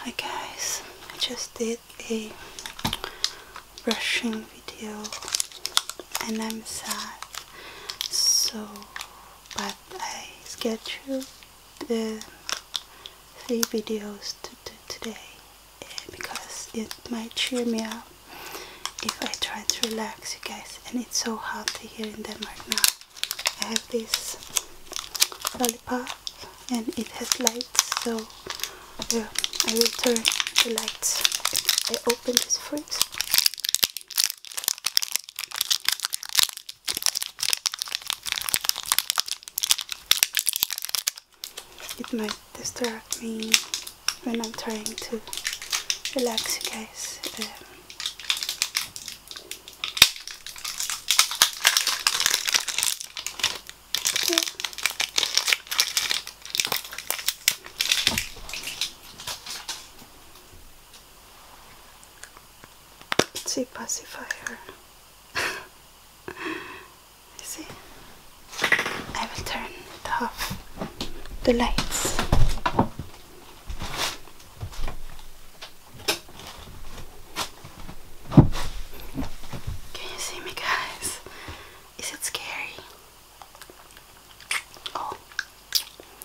Hi guys, I just did a brushing video and I'm sad so but I scheduled the three videos to do today because it might cheer me up if I try to relax you guys and it's so hot here in Denmark now I have this lollipop and it has lights so yeah, I will turn the lights I open this fridge it might distract me when I'm trying to relax you guys um, it's a pacifier. see? I will turn it off the lights. Can you see me, guys? Is it scary? Oh,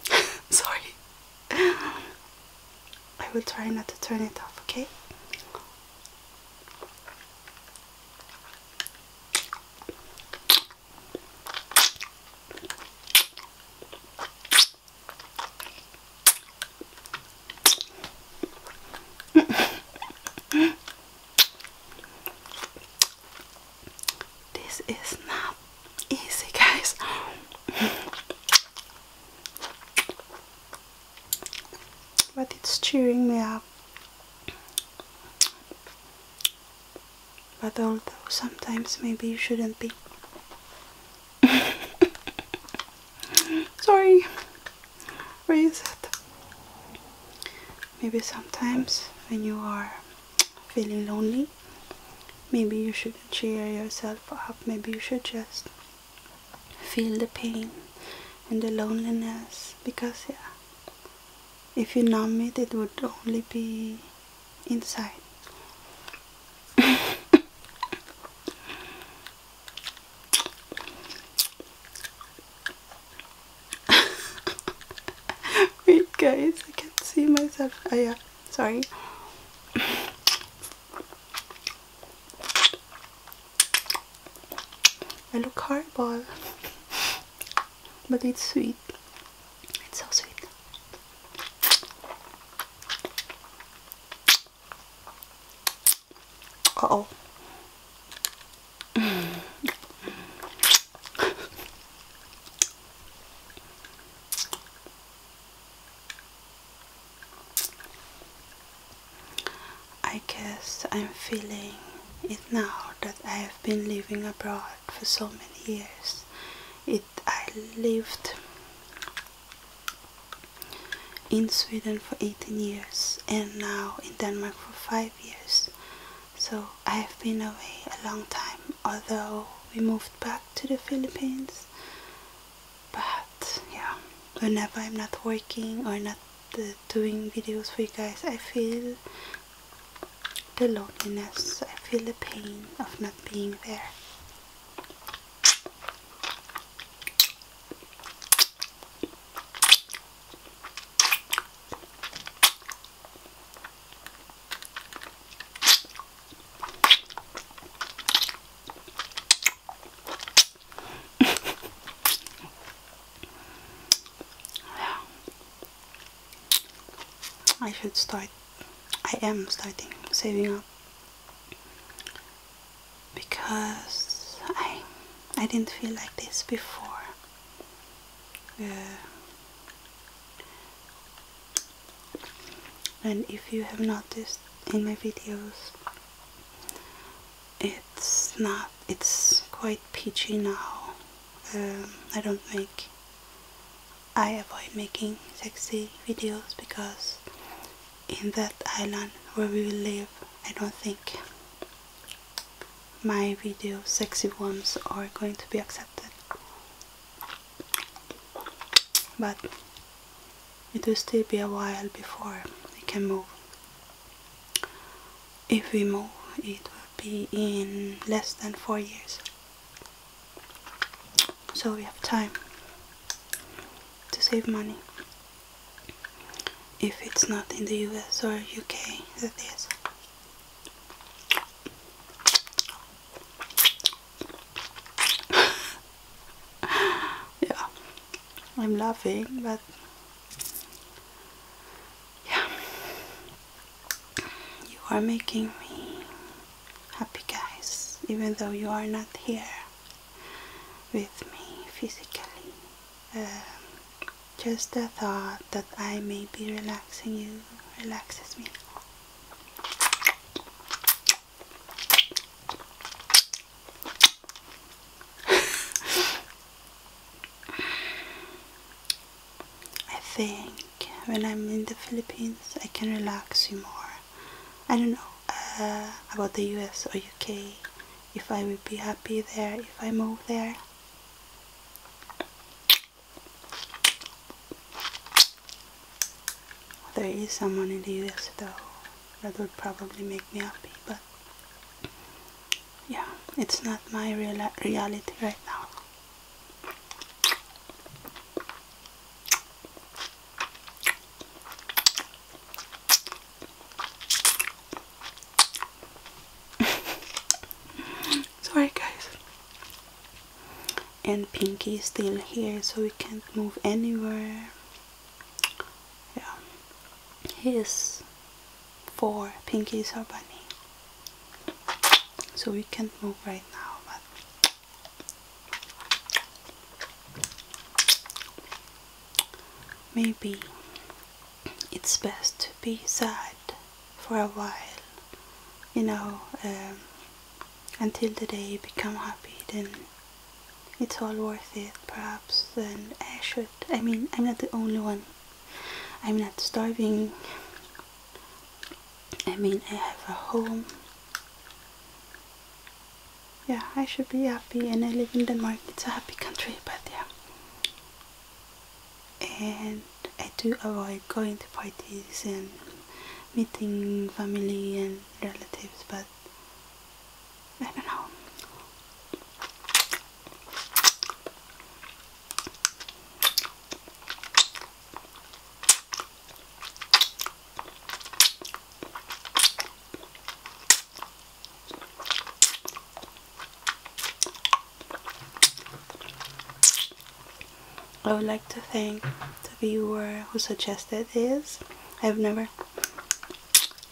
sorry. I will try not to turn it off, okay? this is not easy, guys. but it's cheering me up. But although sometimes maybe you shouldn't be Sorry. Where is it? Maybe sometimes when you are feeling lonely, maybe you should cheer yourself up. Maybe you should just feel the pain and the loneliness because yeah if you numb it it would only be inside Wait guys, I can't see myself. Oh yeah, sorry. I look horrible. but it's sweet. It's so sweet. Uh oh. I guess I'm feeling it now that I have been living abroad for so many years. It I lived in Sweden for 18 years and now in Denmark for 5 years. So I have been away a long time, although we moved back to the Philippines. But yeah, whenever I'm not working or not uh, doing videos for you guys, I feel the loneliness, I feel the pain of not being there yeah. I should start. I am starting saving up because I I didn't feel like this before. and if you have noticed in my videos, it's not, it's quite peachy now. Um, I don't make, I avoid making sexy videos because in that island where we will live I don't think my video sexy ones are going to be accepted but it will still be a while before we can move if we move it will be in less than four years so we have time to save money if it's not in the US or UK that is yeah I'm laughing but yeah you are making me happy guys even though you are not here with me physically um, just the thought that I may be relaxing you relaxes me I think when I'm in the Philippines I can relax you more I don't know uh, about the US or UK, if I would be happy there, if I move there. There is someone in the US though, that would probably make me happy, but yeah, it's not my real reality right now. Sorry guys. And Pinky is still here so we can't move anywhere. Yeah. his four. pinkies are our bunny. So we can't move right now but Maybe it's best to be sad for a while, you know, um, until the day you become happy, then it's all worth it, perhaps. And I should, I mean, I'm not the only one, I'm not starving. I mean, I have a home yeah, I should be happy and I live in Denmark. It's a happy country, but yeah. And I do avoid going to parties and meeting family and relatives, but I don't know. I would like to thank the viewer who suggested this. I've never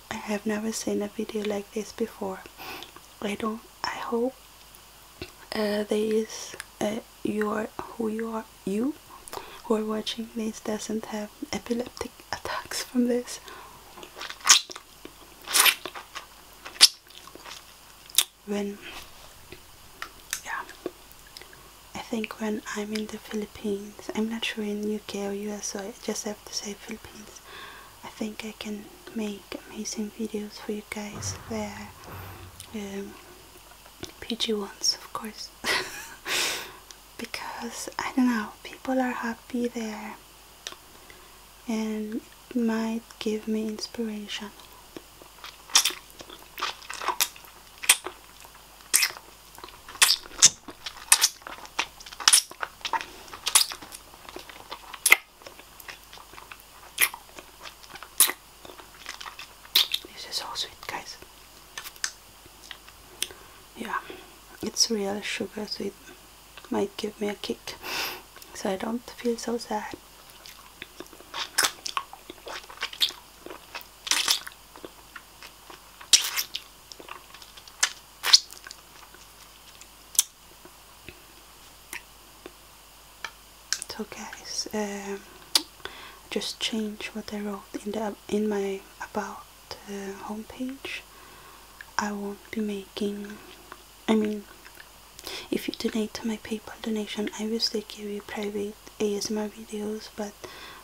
I have never seen a video like this before. I don't I hope uh, there is uh, who you are you who are watching this doesn't have epileptic attacks from this. When, yeah, I think when I'm in the Philippines, I'm not sure in UK or US, so I just have to say Philippines. I think I can make amazing videos for you guys there. Um, PG ones, of course. because I don't know, people are happy there and it might give me inspiration. This is so sweet, guys yeah it's real sugar so it might give me a kick so I don't feel so sad It's okay. um, just change what I wrote in the in my about homepage I won't be making I mean if you donate to my PayPal donation I will still give you private ASMR videos but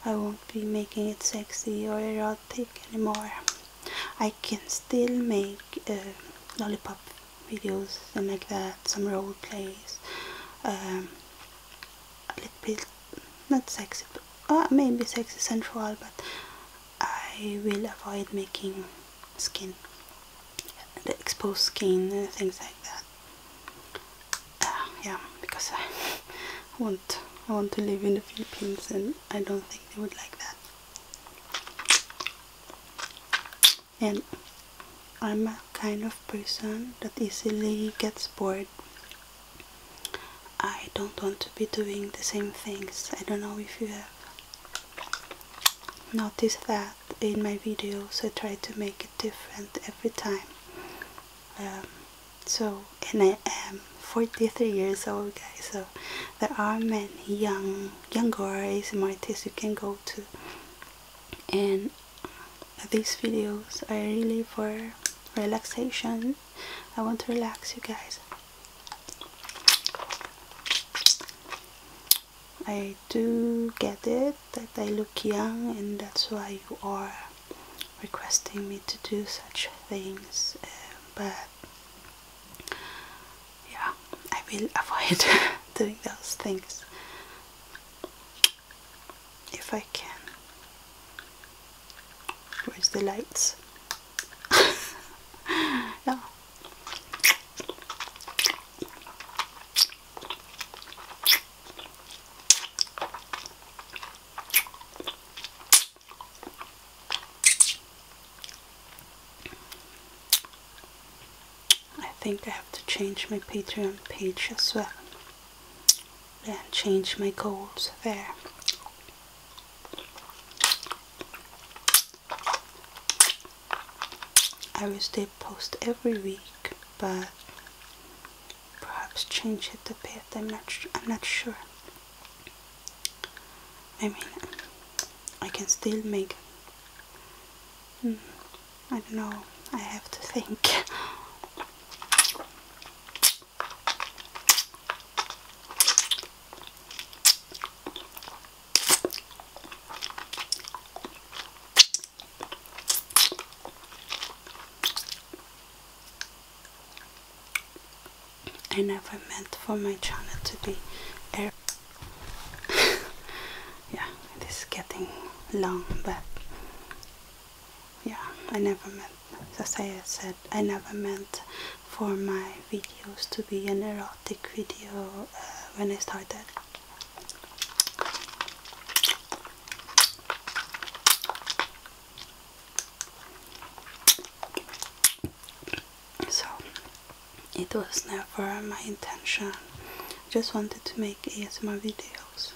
I won't be making it sexy or erotic anymore I can still make uh, lollipop videos and like that some role plays um, a little bit not sexy but, uh, maybe sexy sensual but I will avoid making skin the exposed skin things like that uh, yeah because I want I want to live in the Philippines and I don't think they would like that and I'm a kind of person that easily gets bored I don't want to be doing the same things. I don't know if you have noticed that in my videos I try to make it different every time. Um, so, and I am 43 years old guys, so there are many young, young younger ASMR artists you can go to and these videos are really for relaxation. I want to relax you guys. I do get it that I look young and that's why you are requesting me to do such things eh, but yeah I will avoid doing those things if I can. Where's the lights? yeah. I think I have to change my Patreon page as well and change my goals there. I will still post every week, but perhaps change it a bit. I'm not. I'm not sure. I mean, I can still make. Hmm, I don't know. I have to think. I never meant for my channel to be yeah, it is getting long, but yeah, I never meant as I said, I never meant for my videos to be an erotic video uh, when I started. So, it was never my intention. I just wanted to make ASMR videos.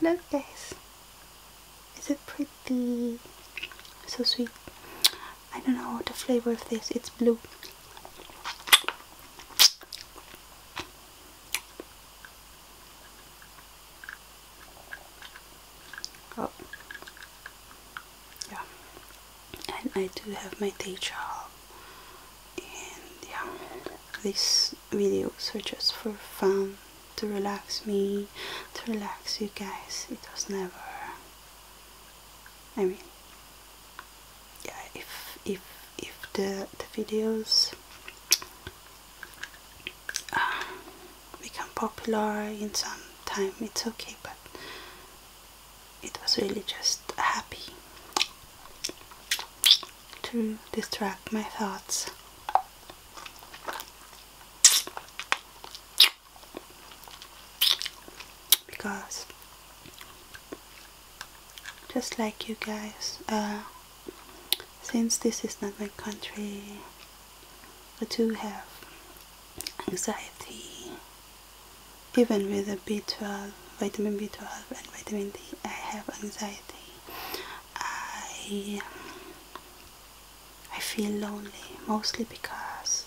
Look guys, is it pretty so sweet I don't know the flavor of this it's blue oh yeah and I do have my day job and yeah this videos were just for fun to relax me to relax you guys it was never I mean yeah if if if the the videos uh, become popular in some time it's okay but it was really just happy to distract my thoughts because just like you guys uh, since this is not my country I do have anxiety even with the B12 vitamin B12 and vitamin D I have anxiety I I feel lonely mostly because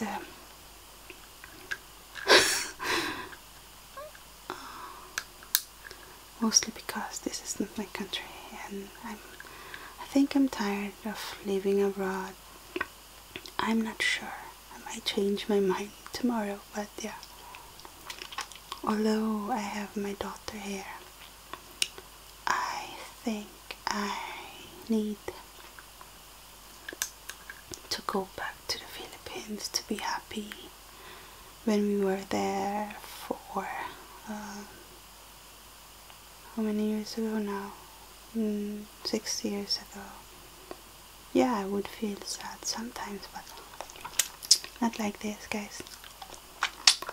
um, mostly because this is not my country and I'm I think I'm tired of living abroad I'm not sure I might change my mind tomorrow but yeah although I have my daughter here I think I need to go back to the Philippines to be happy. When we were there for um, how many years ago now? Mm, six years ago. Yeah, I would feel sad sometimes, but not like this, guys.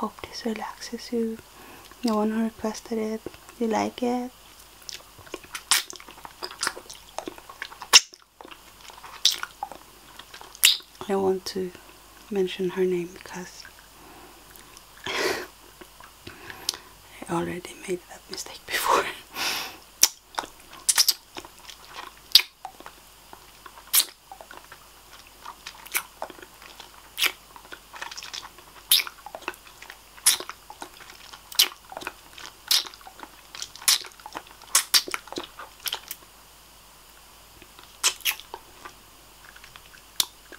Hope this relaxes you. No one requested it. You like it? I want to mention her name because I already made that mistake before. Oh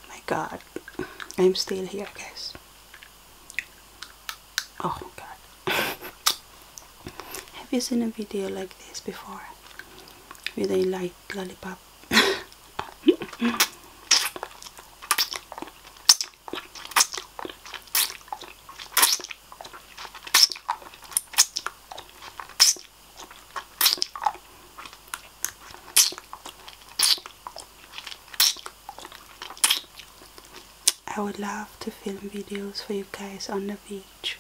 my god I'm still here guys oh god have you seen a video like this before with a light lollipop I would love to film videos for you guys on the beach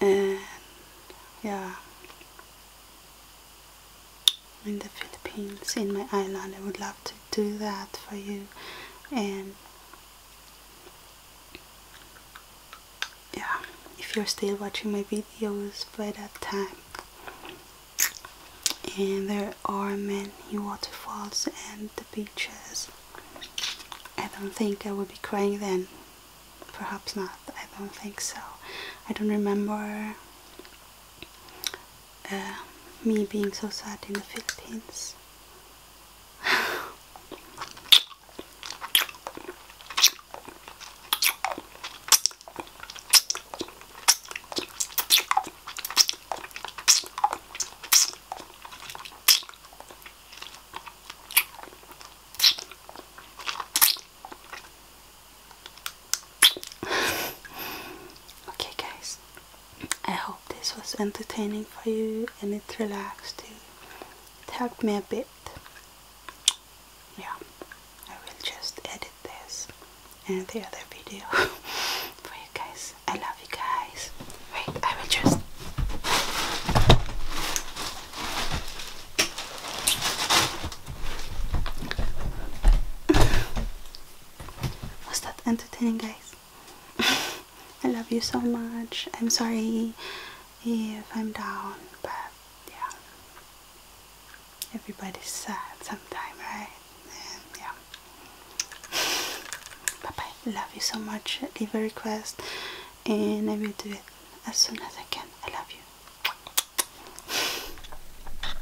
and yeah in the Philippines, in my island. I would love to do that for you. And yeah, if you're still watching my videos by that time. And there are many waterfalls and the beaches. I don't think I would be crying then. Perhaps not. I don't think so. I don't remember uh, me being so sad in the Philippines okay, guys, I hope this was entertaining for you and it relaxed you. It helped me a bit. Yeah, I will just edit this and the other video for you guys. I love you guys. Wait, I will just. Was that entertaining, guys? I love you so much. I'm sorry if I'm down, but yeah. Everybody's sad sometimes, right? And yeah. Bye bye. Love you so much. Leave a request and I will do it as soon as I can. I love you.